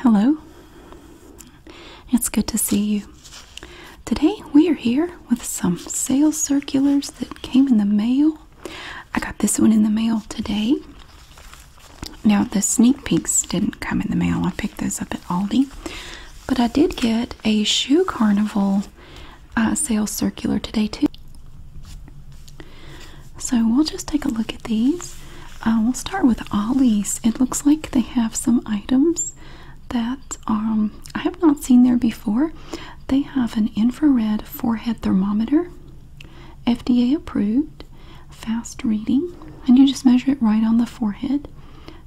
Hello. It's good to see you. Today we are here with some sales circulars that came in the mail. I got this one in the mail today. Now, the sneak peeks didn't come in the mail. I picked those up at Aldi. But I did get a shoe carnival uh, sales circular today, too. So we'll just take a look at these. Uh, we'll start with Ollie's. It looks like they have some items that um, I have not seen there before. They have an infrared forehead thermometer, FDA approved, fast reading, and you just measure it right on the forehead.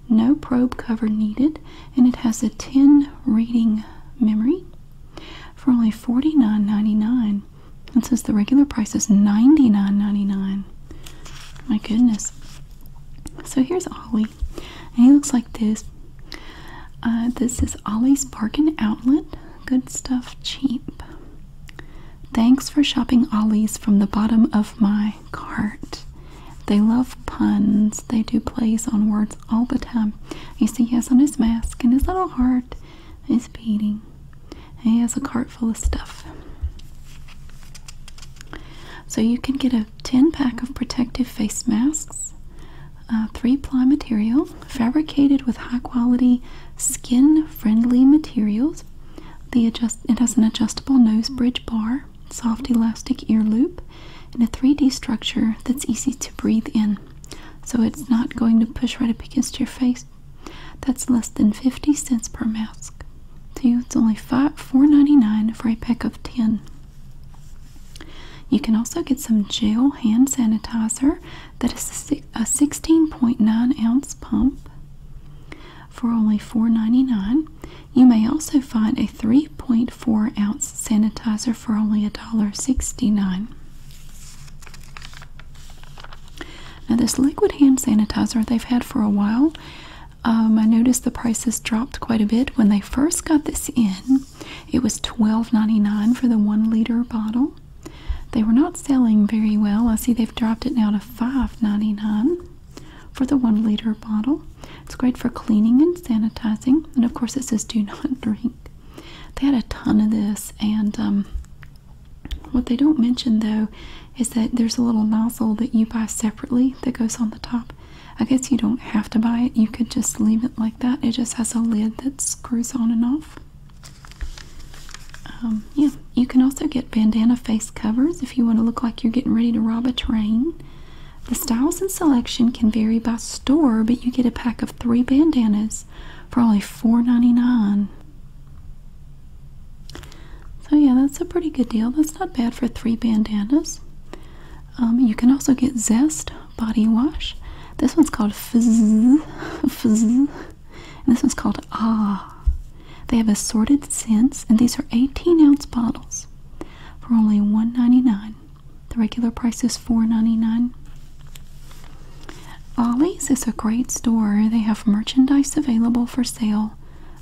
No probe cover needed, and it has a 10 reading memory for only $49.99. It says the regular price is 99 My goodness. So here's Ollie. And he looks like this. Uh, this is Ollie's Bargain Outlet. Good stuff cheap. Thanks for shopping Ollie's from the bottom of my heart. They love puns. They do plays on words all the time. You see, yes, on his mask and his little heart is beating he has a cart full of stuff. So you can get a 10 pack of protective face masks, uh, three ply material, fabricated with high quality skin friendly materials. it has an adjustable nose bridge bar, soft elastic ear loop, and a 3D structure that's easy to breathe in. So it's not going to push right up against your face, that's less than 50 cents per mask. To it's only $4.99 for a pack of 10. You can also get some gel hand sanitizer that is a 16.9 ounce pump for only $4.99. You may also find a 3.4 ounce sanitizer for only $1.69. Now this liquid hand sanitizer they've had for a while. Um, I noticed the prices dropped quite a bit when they first got this in. It was $12.99 for the one liter bottle. They were not selling very well. I see they've dropped it now to $5.99 for the one liter bottle. It's great for cleaning and sanitizing. And of course, it says do not drink. They had a ton of this, and um, what they don't mention though is that there's a little nozzle that you buy separately that goes on the top. I guess you don't have to buy it, you could just leave it like that. It just has a lid that screws on and off. Um, yeah, you can also get bandana face covers if you want to look like you're getting ready to rob a train. The styles and selection can vary by store, but you get a pack of three bandanas for only $4.99. So yeah, that's a pretty good deal. That's not bad for three bandanas. Um, you can also get Zest body wash. This one's called Fizz, this one's called Ah. They have assorted scents, and these are 18 ounce bottles for only $1.99. The regular price is $4.99. Ollie's is a great store. They have merchandise available for sale.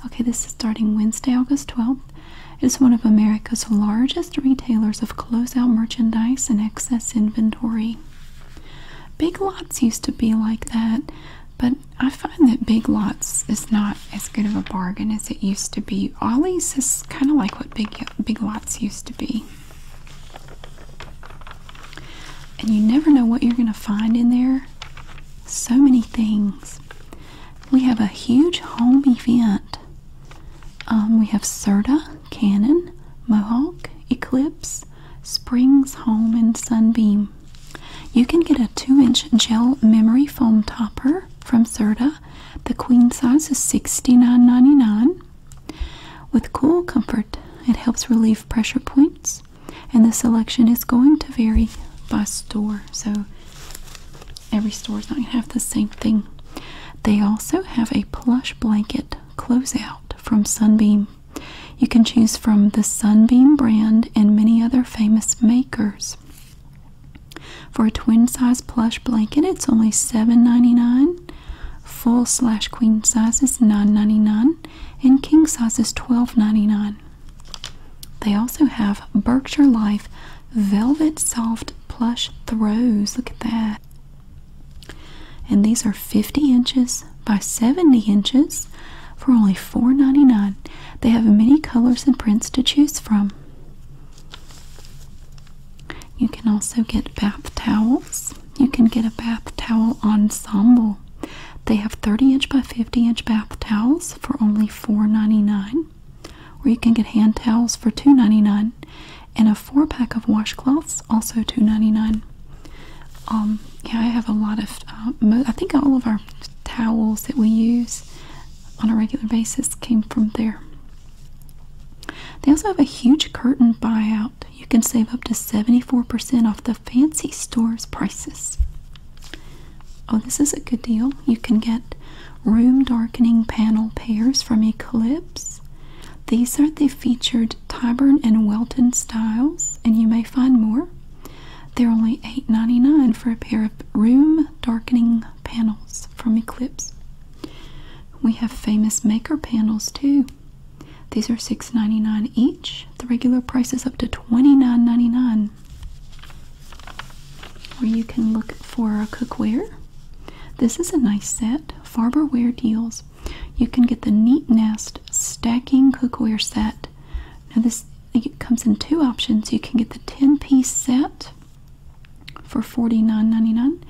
Okay, this is starting Wednesday, August 12th. It is one of America's largest retailers of closeout merchandise and excess inventory. Big Lots used to be like that, but I find that Big Lots is not as good of a bargain as it used to be. Ollie's is kind of like what Big Big Lots used to be. And you never know what you're going to find in there. So many things. We have a huge home event. Um, we have Serta, Canon, Mohawk, Eclipse, Springs Home, and Sunbeam. You can get a 2 inch gel memory foam topper from Serta. The queen size is $69.99. With Cool Comfort, it helps relieve pressure points, and the selection is going to vary by store so every store is not going to have the same thing they also have a plush blanket closeout from sunbeam you can choose from the sunbeam brand and many other famous makers for a twin size plush blanket it's only seven ninety nine. full slash queen sizes nine ninety nine. In king sizes, twelve ninety nine. They also have Berkshire Life Velvet Soft Plush Throws. Look at that. And these are 50 inches by 70 inches for only $4.99. They have many colors and prints to choose from. You can also get bath towels. You can get a bath towel ensemble they have 30 inch by 50 inch bath towels for only $4.99, where you can get hand towels for $2.99, and a four pack of washcloths also $2.99. Um, yeah, I have a lot of, uh, I think all of our towels that we use on a regular basis came from there. They also have a huge curtain buyout you can save up to 74% off the fancy store's prices. Oh, this is a good deal. You can get room darkening panel pairs from Eclipse. These are the featured Tyburn and Welton styles, and you may find more. They're only $8.99 for a pair of room darkening panels from Eclipse. We have famous maker panels too. These are $6.99 each. The regular price is up to $29.99. Or you can look for a cookware. This is a nice set. Farberware deals. You can get the Neat Nest Stacking Cookware Set. Now this comes in two options. You can get the 10-piece set for $49.99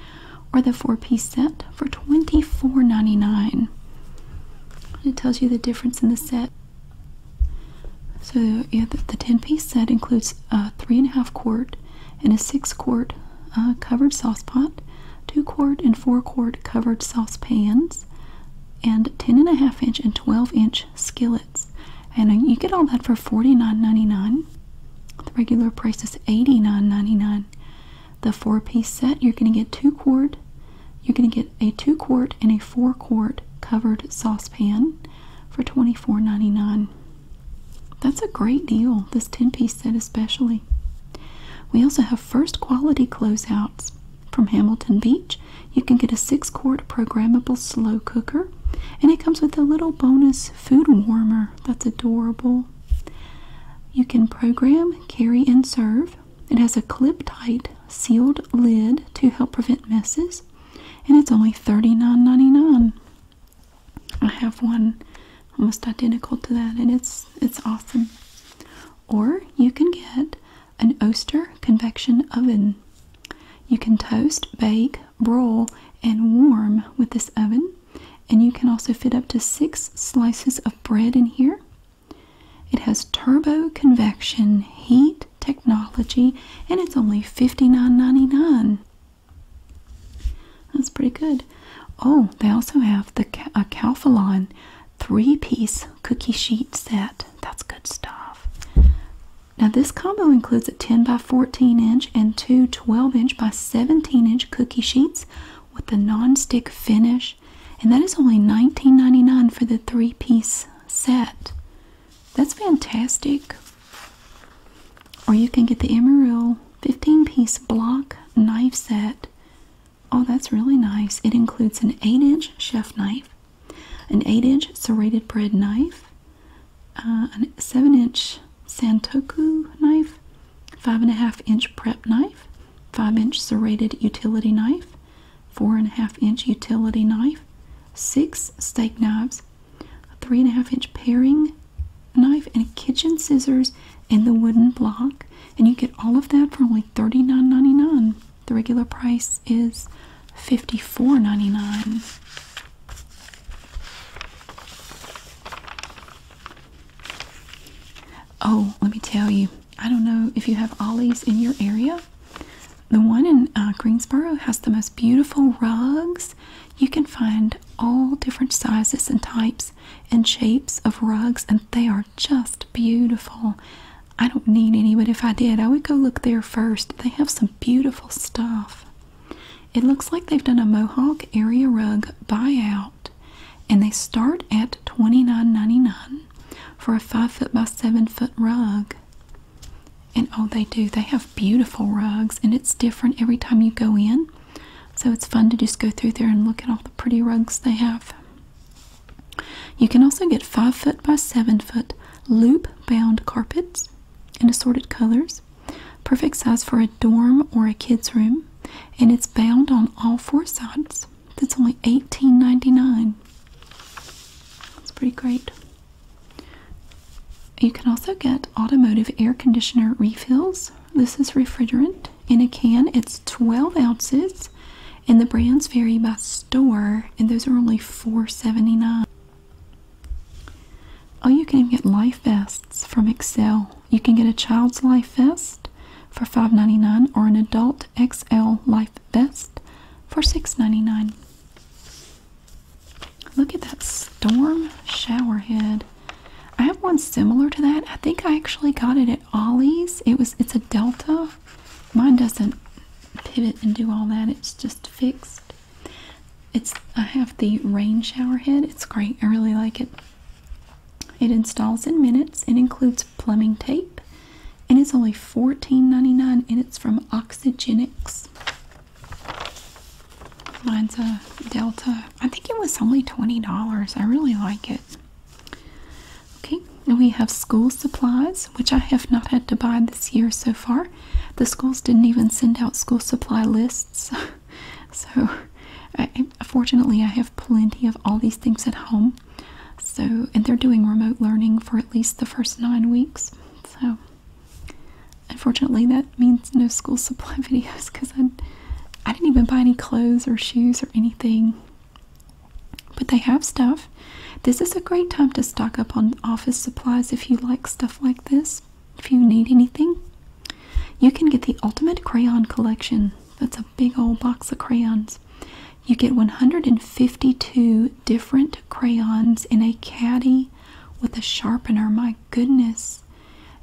or the 4-piece set for $24.99. It tells you the difference in the set. So the, 10 piece set includes a 3.5 quart and a 6 quart uh, covered sauce pot, 2 quart and 4 quart covered sauce pans, and 10.5 inch and 12 inch skillets. And you get all that for $49.99. The regular price is $89.99. The four piece set, you're going to get 2 quart you're going to get a two quart and a four quart covered saucepan for $24.99. That's a great deal, this 10 piece set especially. We also have first quality closeouts from Hamilton Beach. You can get a six quart programmable slow cooker, and it comes with a little bonus food warmer that's adorable. You can program, carry, and serve it has a clip tight sealed lid to help prevent messes, and it's only thirty-nine ninety-nine. I have one almost identical to that, and it's it's awesome. Or you can get an Oster convection oven. You can toast, bake, broil, and warm with this oven, and you can also fit up to six slices of bread in here. It has turbo convection heat technology and it's only $59.99. That's pretty good. Oh, they also have the a Calphalon three-piece cookie sheet set. That's good stuff. Now this combo includes a 10 by 14 inch and two 12 inch by 17 inch cookie sheets with the non-stick finish and that is only $19.99 for the three piece set. That's fantastic. Or you can get the Emeril 15 piece block knife set. Oh, that's really nice. It includes an 8 inch chef knife, an 8 inch serrated bread knife, uh, a 7 inch Santoku knife, 5.5 inch prep knife, 5 inch serrated utility knife, four and a half inch utility knife, six steak knives, a three and a half inch paring knife, and a kitchen scissors and the wooden block. And you get all of that for only $39.99. The regular price is $54.99. Oh, let me tell you, I don't know if you have Ollies in your area. The one in uh, Greensboro has the most beautiful rugs. You can find all different sizes and types and shapes of rugs, and they are just beautiful. I don't need any, but if I did, I would go look there first. They have some beautiful stuff. It looks like they've done a Mohawk area rug buyout, and they start at twenty nine ninety nine for a five foot by seven foot rug. And oh, they do. They have beautiful rugs, and it's different every time you go in. So it's fun to just go through there and look at all the pretty rugs they have. You can also get five foot by seven foot loop bound carpets in assorted colors. Perfect size for a dorm or a kid's room, and it's bound on all four sides. That's only $18.99. That's pretty great. You can also get automotive air conditioner refills. This is refrigerant in a can. It's 12 ounces, and the brands vary by store, and those are only $4.79. Oh, you can even get life vests from Excel. You can get a child's life vest for $5.99 or an adult XL life Best for $6.99. Look at that storm shower head. I have one similar to that. I think I actually got it at Ollie's. It was it's a Delta. Mine doesn't pivot and do all that. It's just fixed. It's I have the rain shower head. It's great. I really like it. It installs in minutes It includes plumbing tape and it's only $14.99 and it's from Oxygenics. Mine's a Delta. I think it was only $20. I really like it. Okay, and we have school supplies, which I have not had to buy this year so far. The schools didn't even send out school supply lists. so, fortunately, I have plenty of all these things at home. So, and they're doing remote learning for at least the first nine weeks. So, unfortunately, that means no school supply videos because I, I didn't even buy any clothes or shoes or anything. But they have stuff. This is a great time to stock up on office supplies if you like stuff like this. If you need anything, you can get the Ultimate Crayon Collection. That's a big old box of crayons. You get 152 different crayons in a caddy with a sharpener. My goodness.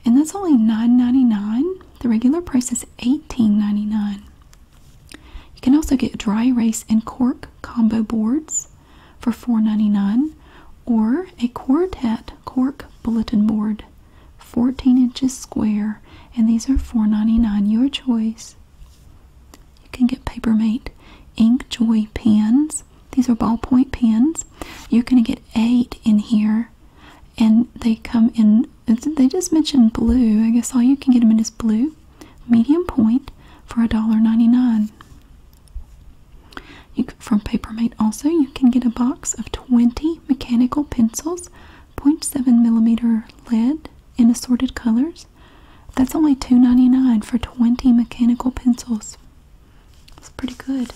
And that's only $9.99. The regular price is $18.99. You can also get dry erase and cork combo boards for $4.99 or a quartet cork bulletin board 14 inches square and these are $4.99 your choice you can get Papermate InkJoy pens. These are ballpoint pens. You're going to get eight in here, and they come in. They just mentioned blue. I guess all you can get them in is blue, medium point for $1.99. You from Papermate also, you can get a box of 20 mechanical pencils, 0.7 millimeter lead in assorted colors. That's only $2.99 for 20 mechanical pencils. That's pretty good.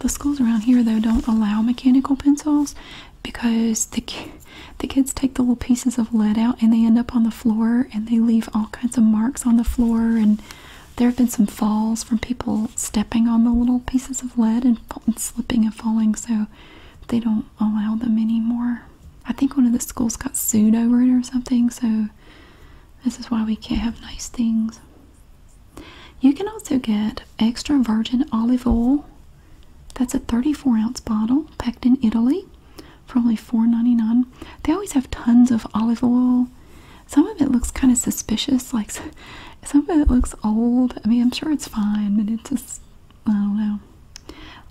The schools around here, though, don't allow mechanical pencils because the, the kids take the little pieces of lead out and they end up on the floor and they leave all kinds of marks on the floor. And there have been some falls from people stepping on the little pieces of lead and slipping and falling. So they don't allow them anymore. I think one of the schools got sued over it or something, so this is why we can't have nice things. You can also get extra virgin olive oil. That's a 34 ounce bottle packed in Italy for only $4.99. They always have tons of olive oil. Some of it looks kind of suspicious, like some of it looks old. I mean, I'm sure it's fine, but it's just I oh, don't know.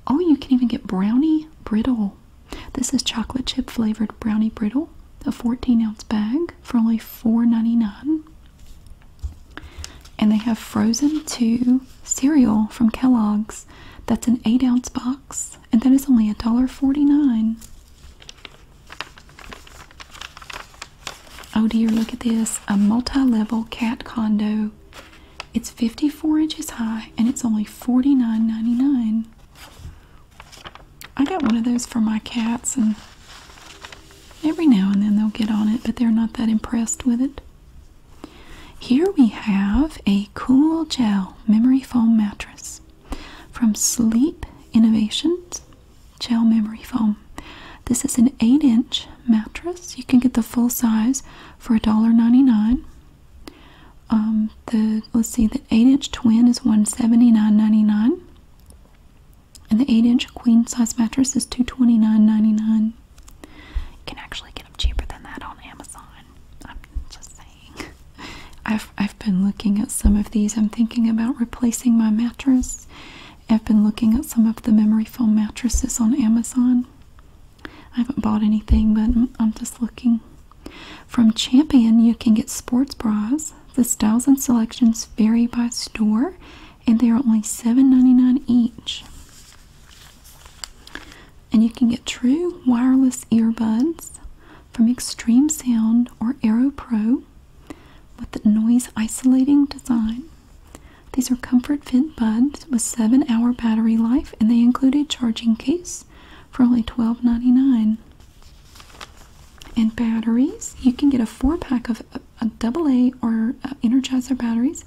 Oh, you can even get brownie brittle. This is chocolate chip flavored brownie brittle, a 14 ounce bag for only $4.99. And they have frozen two cereal from Kellogg's. That's an 8 ounce box, and that is only $1.49. Oh dear, look at this. A multi-level cat condo. It's 54 inches high and it's only $49.99. I got one of those for my cats and every now and then they'll get on it, but they're not that impressed with it. Here we have a cool gel memory foam mattress from Sleep Innovations. Gel memory foam. This is an 8 inch mattress. You can get the full size for $1.99. Um, the let's see, the 8 inch twin is 179 And the 8 inch queen size mattress is $229.99. You can actually get them cheaper than that on Amazon. I'm just saying. I've, I've been looking at some of these. I'm thinking about replacing my mattress I've been looking at some of the memory foam mattresses on Amazon. I haven't bought anything, but I'm just looking. From Champion, you can get sports bras. The styles and selections vary by store, and they are only $7.99 each. And you can get true wireless earbuds from Extreme Sound or Aero Pro with the noise isolating design. These are comfort fit buds with 7 hour battery life and they include a charging case for only $12.99. And batteries, you can get a 4 pack of uh, double A or uh, Energizer batteries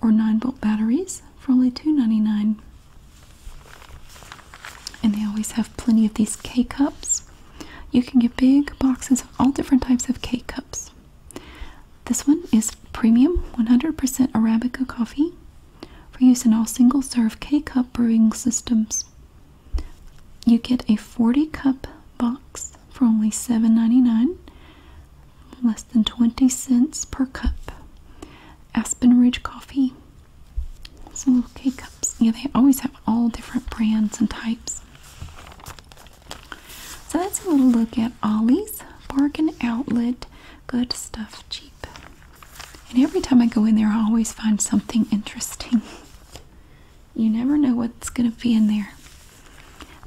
or 9 volt batteries for only $2.99. And they always have plenty of these K cups. You can get big boxes of all different types of K cups. This one is premium 100% Arabica coffee for use in all single serve K cup brewing systems. You get a 40 cup box for only $7.99, less than 20 cents per cup. Aspen Ridge Coffee. Some little K cups. Yeah, they always have all different brands and types. So that's a little look at Ollie's Bargain Outlet. Good stuff, cheap. And every time I go in there, I always find something interesting. you never know what's going to be in there.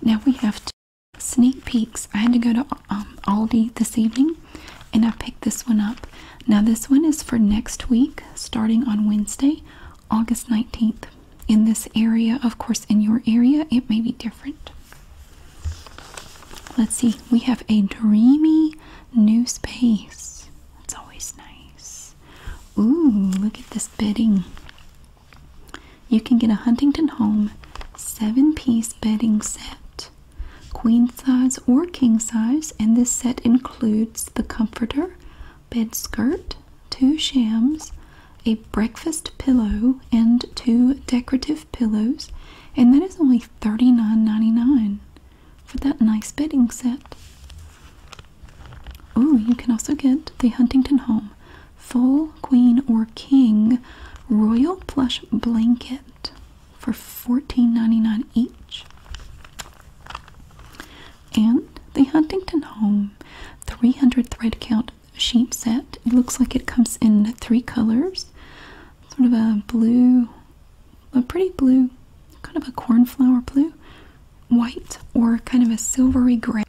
Now we have two sneak peeks. I had to go to um, Aldi this evening and I picked this one up. Now this one is for next week starting on Wednesday, August 19th in this area. Of course, in your area, it may be different. Let's see, we have a dreamy new space. That's always nice. Ooh, look at this bedding. You can get a Huntington Home seven piece bedding set, queen size or king size, and this set includes the comforter, bed skirt, two shams, a breakfast pillow, and two decorative pillows, and that is only $39.99 for that nice bedding set. Oh, you can also get the Huntington Home Full Queen or King Royal Plush Blanket for $14.99 each. And the Huntington Home 300 thread count sheet set. It looks like it comes in three colors. Sort of a blue, a pretty blue, kind of a cornflower blue, white, or kind of a silvery gray.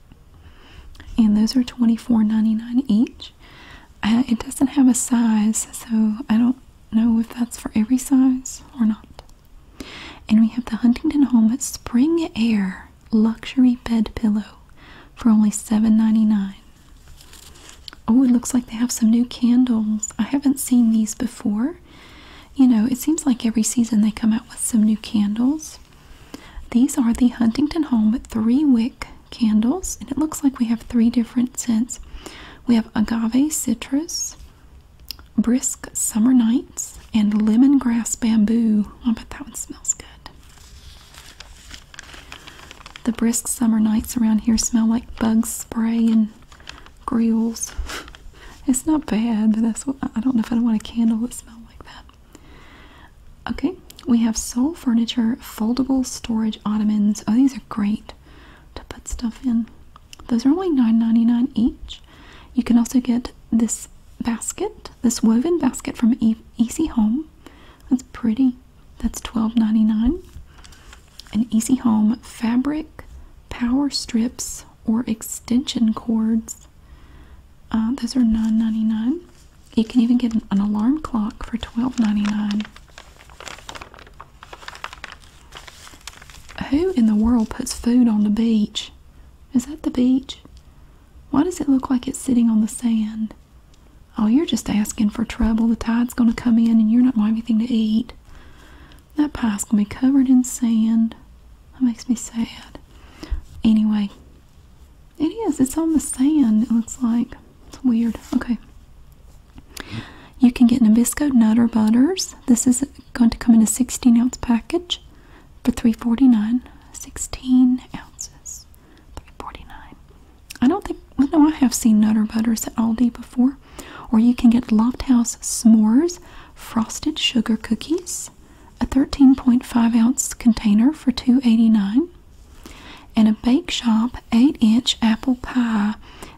And those are $24.99 each. Uh, it doesn't have a size, so I don't know if that's for every size or not. And we have the Huntington Home Spring Air luxury bed pillow for only seven ninety nine. Oh, it looks like they have some new candles. I haven't seen these before. You know, it seems like every season they come out with some new candles. These are the Huntington Home three wick candles, and it looks like we have three different scents. We have agave citrus, brisk summer nights, and lemongrass bamboo. I oh, bet that one smells good. The brisk summer nights around here smell like bug spray and grills. it's not bad, but that's I don't know if I want a candle that smells like that. Okay, we have Soul Furniture foldable storage ottomans. Oh, these are great to put stuff in. Those are only $9.99 each. You can also get this basket, this woven basket from Easy Home. That's pretty. That's twelve ninety nine. An Easy Home fabric, power strips, or extension cords. Uh, those are nine ninety nine. You can even get an, alarm clock for twelve ninety nine. Who in the world puts food on the beach? Is that the beach? Why does it look like it's sitting on the sand? Oh, you're just asking for trouble. The tide's going to come in and you're not going to have anything to eat. That pie's going to be covered in sand. That makes me sad. Anyway, it is. It's on the sand, it looks like. It's weird. Okay. You can get Nabisco Nutter Butters. This is going to come in a 16 ounce package for $3.49. 16 ounces. 49 I don't think, no, I have seen Nutter Butters at Aldi before. Or you can get Loft House S'mores Frosted Sugar Cookies, a 13.5 ounce container for two eighty-nine, And a Bake Shop 8 inch apple pie.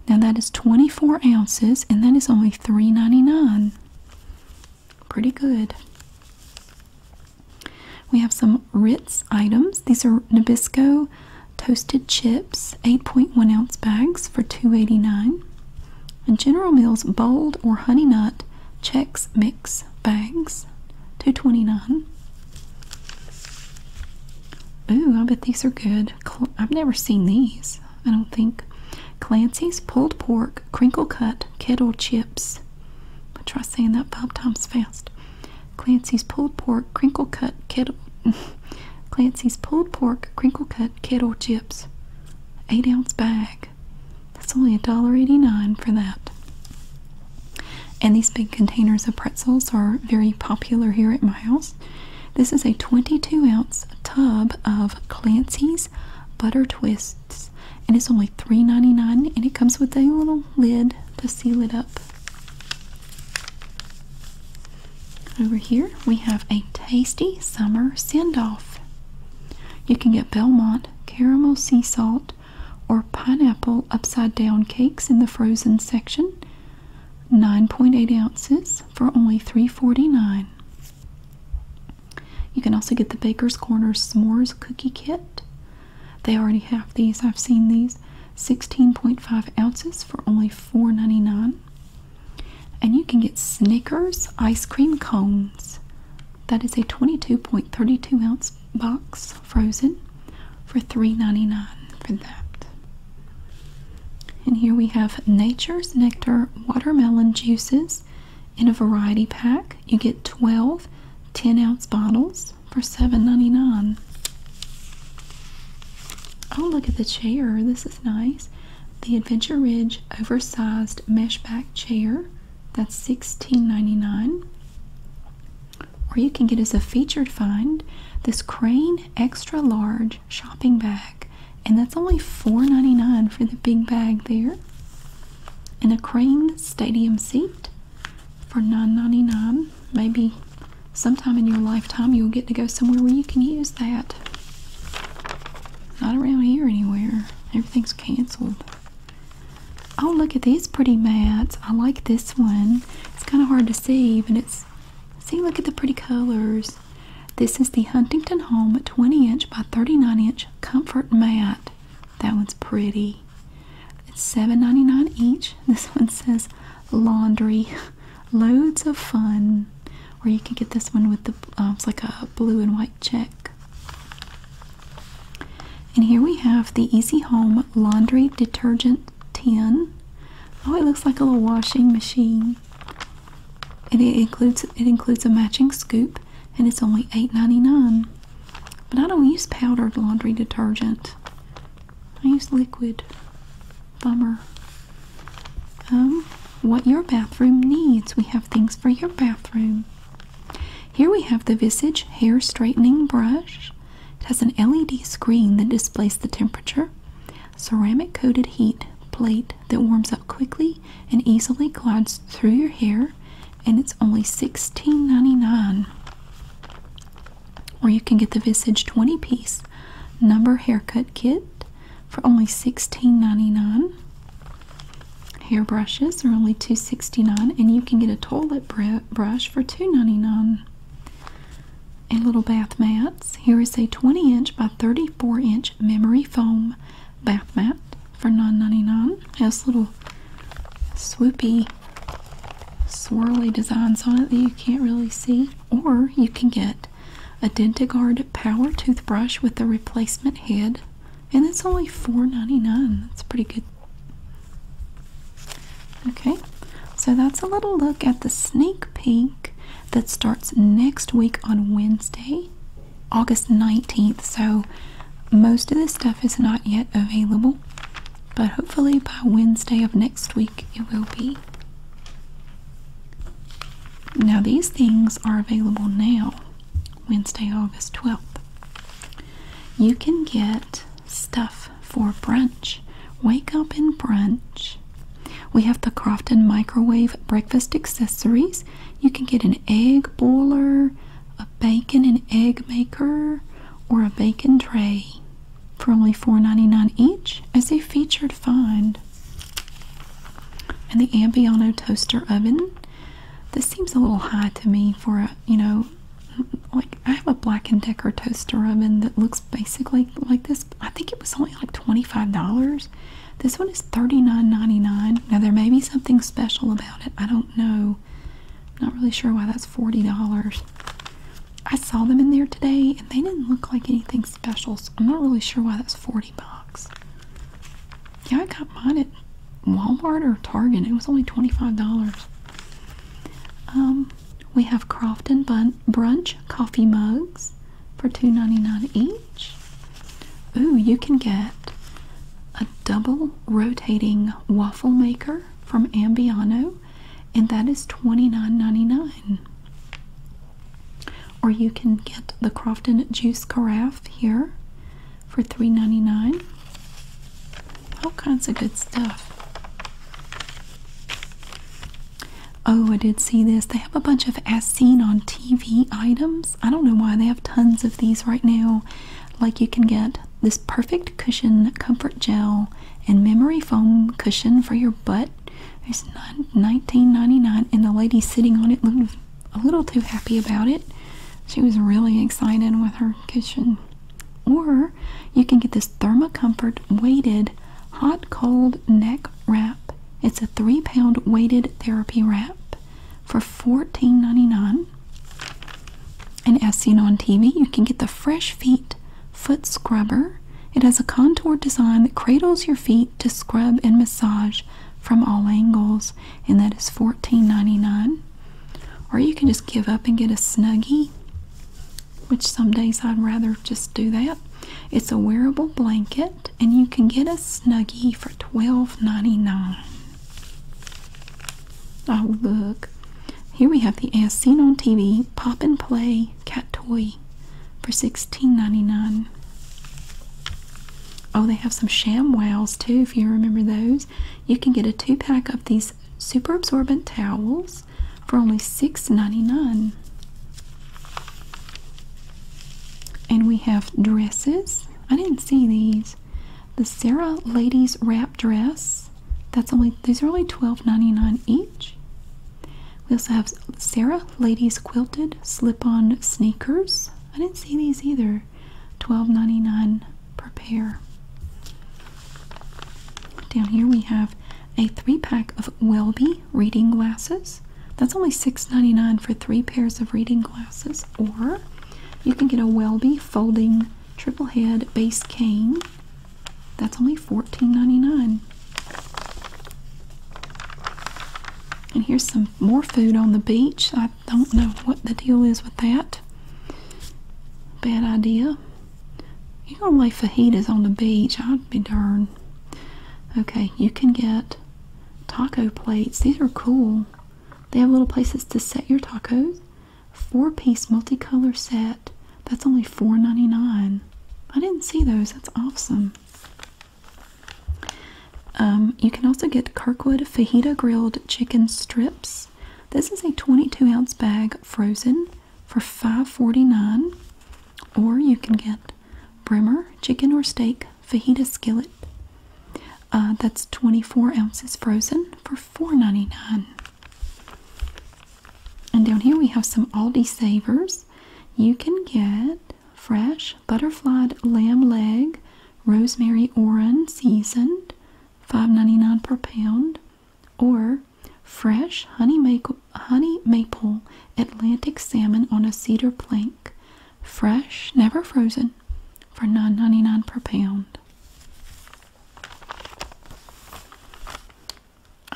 Now that is 24 ounces and that is only three ninety-nine. Pretty good. We have some Ritz items. These are Nabisco toasted chips, 8.1 ounce bags for 2.89, And General Mills bold or honey nut Chex Mix bags, 2.29. dollars Ooh, I bet these are good. I've never seen these, I don't think. Clancy's pulled pork crinkle cut kettle chips. I'll try saying that five times fast. Clancy's pulled pork crinkle cut kettle Clancy's pulled pork crinkle cut kettle chips. Eight ounce bag. That's only a dollar eighty nine for that. And these big containers of pretzels are very popular here at my house. This is a 22 ounce tub of Clancy's Butter Twists and it's only $3.99 and it comes with a little lid to seal it up. Over here we have a tasty summer send-off. You can get Belmont caramel sea salt or pineapple upside down cakes in the frozen section. 9.8 ounces for only three forty nine. You can also get the Baker's Corner S'mores Cookie Kit they already have these. I've seen these. 16.5 ounces for only $4.99. And you can get Snickers ice cream cones. That is a 22.32 ounce box frozen for $3.99 for that. And here we have Nature's Nectar watermelon juices in a variety pack. You get 12 10 ounce bottles for $7.99. Oh, look at the chair. This is nice. The Adventure Ridge oversized mesh back chair. That's $16.99. Or you can get as a featured find this Crane Extra Large shopping bag. And that's only $4.99 for the big bag there. And a Crane Stadium seat for $9.99. Maybe sometime in your lifetime you'll get to go somewhere where you can use that. Not around here anywhere. Everything's canceled. Oh, look at these pretty mats. I like this one. It's kind of hard to see, but it's... See, look at the pretty colors. This is the Huntington Home 20 inch by 39 inch comfort mat. That one's pretty. It's $7.99 each. This one says laundry. Loads of fun. where you can get this one with the, um, it's like a blue and white check. And here we have the Easy Home Laundry Detergent Tin. Oh, it looks like a little washing machine. And it includes it includes a matching scoop and it's only $8.99. But I don't use powdered laundry detergent. I use liquid. Bummer. Um, what your bathroom needs. We have things for your bathroom. Here we have the Visage Hair Straightening Brush. It has an LED screen that displays the temperature, ceramic coated heat plate that warms up quickly and easily glides through your hair and it's only $16.99 or you can get the visage 20 piece number haircut kit for only $16.99 hair brushes are only $2.69 and you can get a toilet brush for $2.99 and little bath mats here is a 20 inch by 34 inch memory foam bath mat for $9.99 has little swoopy swirly designs on it that you can't really see. Or you can get a DentaGuard Power Toothbrush with the replacement head. And it's only $4.99. That's pretty good. Okay, so that's a little look at the sneak peek that starts next week on Wednesday, August 19th. So most of this stuff is not yet available but hopefully by Wednesday of next week it will be. Now, these things are available now, Wednesday, August 12th. You can get stuff for brunch. Wake up and brunch. We have the Crofton microwave breakfast accessories. You can get an egg boiler, a bacon and egg maker or a bacon tray for only $4.99 each as a featured find. And the Ambiano toaster oven. This seems a little high to me for a, you know, like I have a Black & Decker toaster oven that looks basically like this. I think it was only like $25. This one is $39.99. Now there may be something special about it. I don't know so not really sure why that's $40. I saw them in there today and they didn't look like anything special, so I'm not really sure why that's 40 bucks. Yeah, I got mine at Walmart or Target. It was only $25. Um, we have Crofton Brunch coffee mugs for $2.99 each. Ooh, you can get a double rotating waffle maker from Ambiano and that is $29.99. Or you can get the Crofton Juice Carafe here for $3.99. All kinds of good stuff. Oh, I did see this. They have a bunch of as seen on TV items. I don't know why they have tons of these right now. Like you can get this perfect cushion comfort gel and memory foam cushion for your butt. It's $19.99 and the lady sitting on it looked a little too happy about it. She was really excited with her cushion. Or you can get this Comfort weighted hot cold neck wrap. It's a three pound weighted therapy wrap for $14.99. And as seen on TV, you can get the Fresh Feet Foot Scrubber. It has a contour design that cradles your feet to scrub and massage from all angles, and that is $14.99. Or you can just give up and get a Snuggie, which some days I'd rather just do that. It's a wearable blanket, and you can get a Snuggie for $12.99. Oh, look. Here we have the ass Seen on TV Pop and Play Cat Toy for $16.99. Oh, they have some shamwells too, if you remember those. You can get a two pack of these super absorbent towels for only $6.99. And we have dresses. I didn't see these. The Sarah Ladies Wrap Dress that's only these are only twelve ninety nine each. We also have Sarah Ladies Quilted Slip-on Sneakers. I didn't see these either. Twelve ninety nine per pair. Down here we have a three-pack of Welby reading glasses. That's only six ninety nine for three pairs of reading glasses. Or you can get a Welby folding triple head base cane that's only $14.99. And here's some more food on the beach. I don't know what the deal is with that. Bad idea. You're gonna lay fajitas on the beach. I'd be darned. Okay, you can get taco plates. These are cool. They have little places to set your tacos. Four piece multicolor set. That's only $4.99. I didn't see those. That's awesome. Um, you can also get Kirkwood Fajita Grilled Chicken Strips. This is a 22 ounce bag frozen for $5.49. Or you can get Bremer Chicken or Steak Fajita Skillet. Uh, that's 24 ounces frozen for $4.99. And down here we have some Aldi Savers. You can get fresh butterflied lamb leg, rosemary oran seasoned, five ninety nine per pound, or fresh honey maple, honey maple Atlantic salmon on a cedar plank, fresh, never frozen, for nine ninety nine per pound.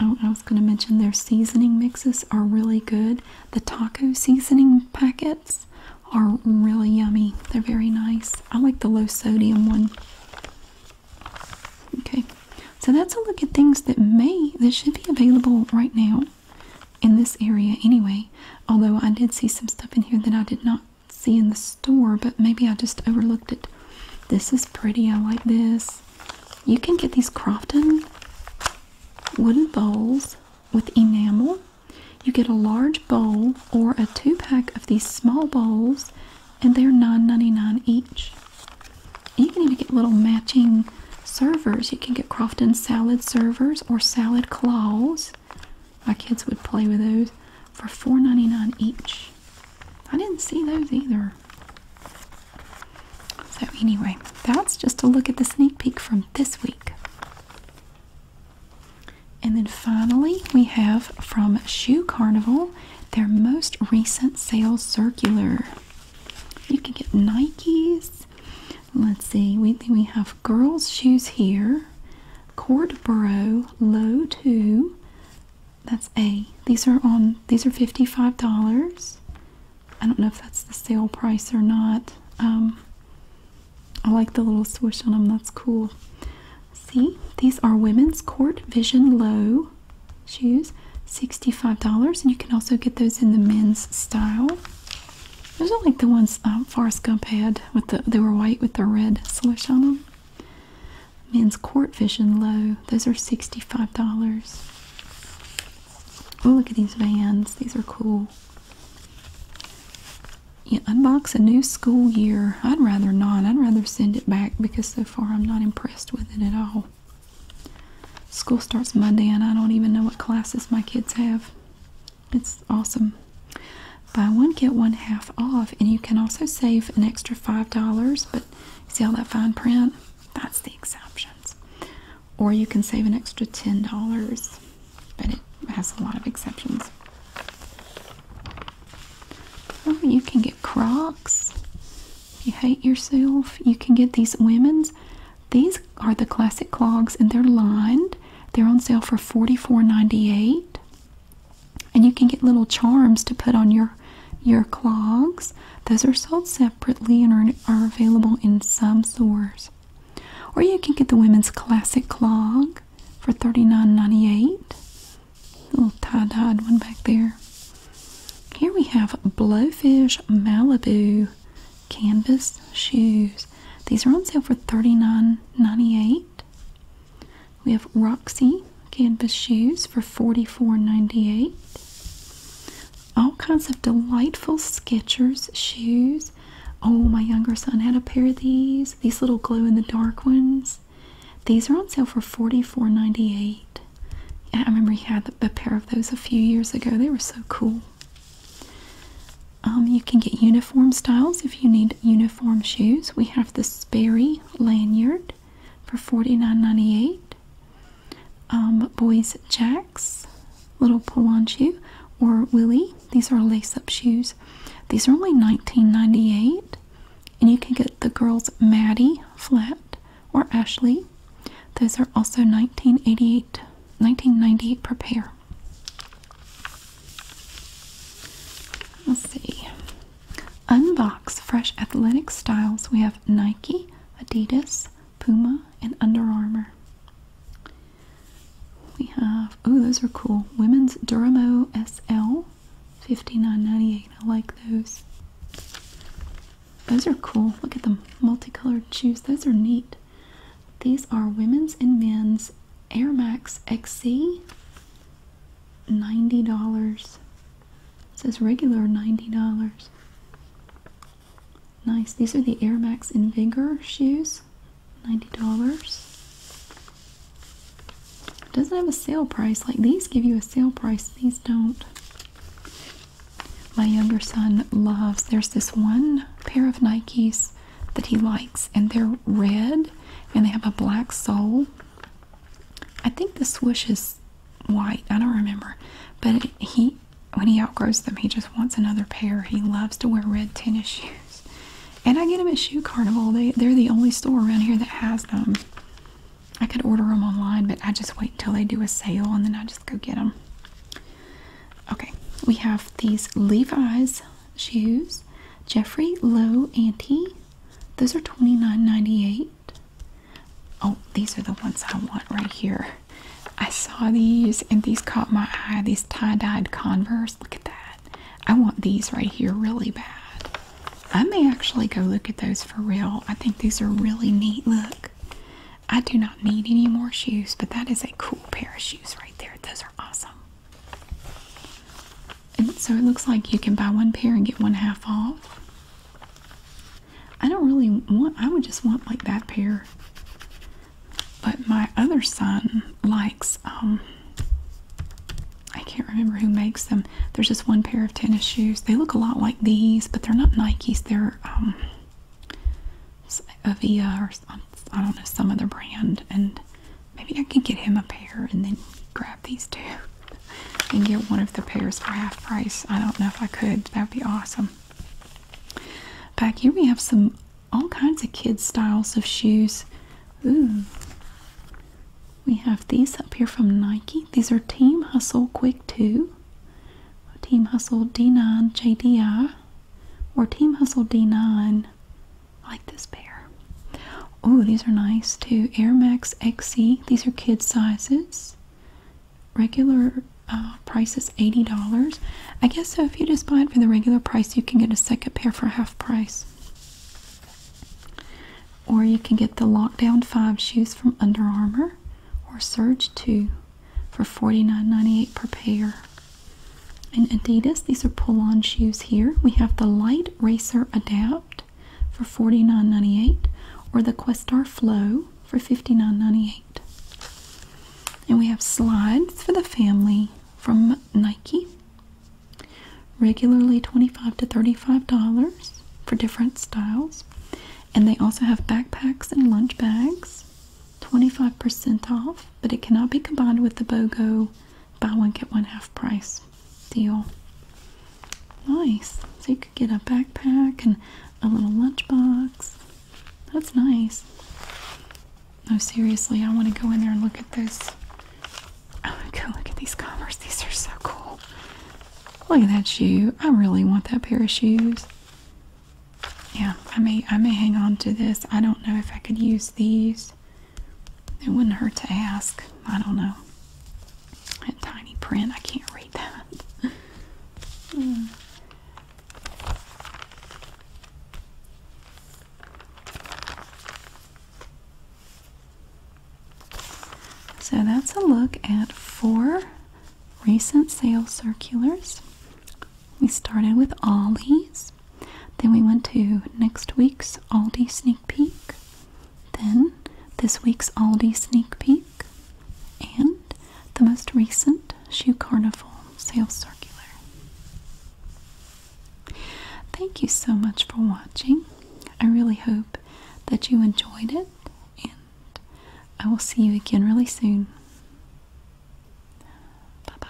Oh, I was going to mention their seasoning mixes are really good. The taco seasoning packets are really yummy. They're very nice. I like the low sodium one. Okay, so that's a look at things that may, that should be available right now in this area anyway. Although I did see some stuff in here that I did not see in the store, but maybe I just overlooked it. This is pretty. I like this. You can get these Crofton wooden bowls with enamel. You get a large bowl or a two pack of these small bowls, and they're $9.99 each. you can even get little matching servers. You can get Crofton salad servers or salad claws. My kids would play with those for $4.99 each. I didn't see those either. So, anyway, that's just a look at the sneak peek from this week. And then finally, we have from Shoe Carnival their most recent sales circular. You can get Nikes. Let's see, we, we have girls' shoes here, Cordboro Low 2, that's A. These are on these are $55. I don't know if that's the sale price or not. Um, I like the little swoosh on them. That's cool. See, these are women's court vision low shoes. $65. And you can also get those in the men's style. Those are like the ones um, Forrest Gump had with the they were white with the red swoosh on them. Men's court vision low. Those are $65. Oh, look at these vans. These are cool. unbox a new school year. I'd rather not. I'd rather send it back because so far I'm not impressed with it at all. School starts Monday and I don't even know what classes my kids have. It's awesome. Buy one, get one half off, and you can also save an extra $5, but See all that fine print? That's the exceptions. Or you can save an extra $10, but it has a lot of exceptions. Oh, you can get Crocs. you hate yourself, you can get these women's. These are the classic clogs and they're lined. They're on sale for $44.98. And you can get little charms to put on your your clogs. Those are sold separately and are, are available in some stores. Or you can get the women's classic clog for $39.98. Little tie-dyed one back there. Here we have Blowfish Malibu canvas shoes. These are on sale for $39.98. We have Roxy canvas shoes for 44 All kinds of delightful Skechers shoes. Oh, my younger son had a pair of these. These little glow in the dark ones. These are on sale for 44 I remember he had a pair of those a few years ago. They were so cool. Um, you can get uniform styles if you need uniform shoes. We have the Sperry lanyard for $49.98. Um, boys Jacks, Little Polanchu, or Willie. These are lace-up shoes. These are only $19.98. And you can get the girls Maddie Flat or Ashley. Those are also 19 dollars 98 per pair. Let's see. Unbox fresh athletic styles. We have Nike, Adidas, Puma, and Under Armour. We have, oh, those are cool. Women's Duramo SL, nine ninety eight. I like those. Those are cool. Look at the multicolored shoes. Those are neat. These are women's and men's Air Max XC, $90. It says regular $90. Nice. These are the Air Max Invigor shoes. $90. Doesn't have a sale price. Like these give you a sale price. These don't. My younger son loves. There's this one pair of Nikes that he likes and they're red and they have a black sole. I think the swoosh is white. I don't remember. But he, when he outgrows them, he just wants another pair. He loves to wear red tennis shoes. And I get them at Shoe Carnival. They, they're the only store around here that has them. I could order them online, but I just wait until they do a sale and then I just go get them. Okay, we have these Levi's shoes. Jeffrey Low Anti. Those are twenty nine ninety eight. Oh, these are the ones I want right here. I saw these and these caught my eye. These tie-dyed Converse. Look at that. I want these right here really bad. I may actually go look at those for real. I think these are really neat. Look. I do not need any more shoes, but that is a cool pair of shoes right there. Those are awesome. And so it looks like you can buy one pair and get one half off. I don't really want, I would just want like that pair. But my other son likes, um, I can't remember who makes them. There's just one pair of tennis shoes. They look a lot like these, but they're not Nikes. They're, um, Avia or I don't know, some other brand. And maybe I can get him a pair and then grab these two and get one of the pairs for half price. I don't know if I could. That would be awesome. Back here we have some all kinds of kids styles of shoes. Ooh. We have these up here from Nike. These are Team Hustle Quick 2, Team Hustle D9 JDI, or Team Hustle D9. like this pair. Oh, these are nice too. Air Max XC. These are kid sizes. Regular uh, price is $80. I guess so if you just buy it for the regular price, you can get a second pair for half price. Or you can get the Lockdown 5 shoes from Under Armour or Surge 2 for $49.98 per pair. And Adidas, these are pull on shoes here. We have the Light Racer Adapt for $49.98 or the Questar Flow for $59.98. And we have slides for the family from Nike. Regularly $25 to $35 for different styles. And they also have backpacks and lunch bags. 25% off, but it cannot be combined with the BOGO buy one get one half price deal. Nice. So you could get a backpack and a little lunchbox. That's nice. No, seriously, I want to go in there and look at this. Oh, go look at these Converse. These are so cool. Look at that shoe. I really want that pair of shoes. Yeah, I may I may hang on to this. I don't know if I could use these. It wouldn't hurt to ask. I don't know. That tiny print, I can't read that. Hmm. So that's a look at four recent sales circulars. We started with Ollie's, then we went to next week's Aldi sneak peek, then, this week's Aldi sneak peek and the most recent Shoe Carnival sales circular. Thank you so much for watching. I really hope that you enjoyed it, and I will see you again really soon. Bye bye.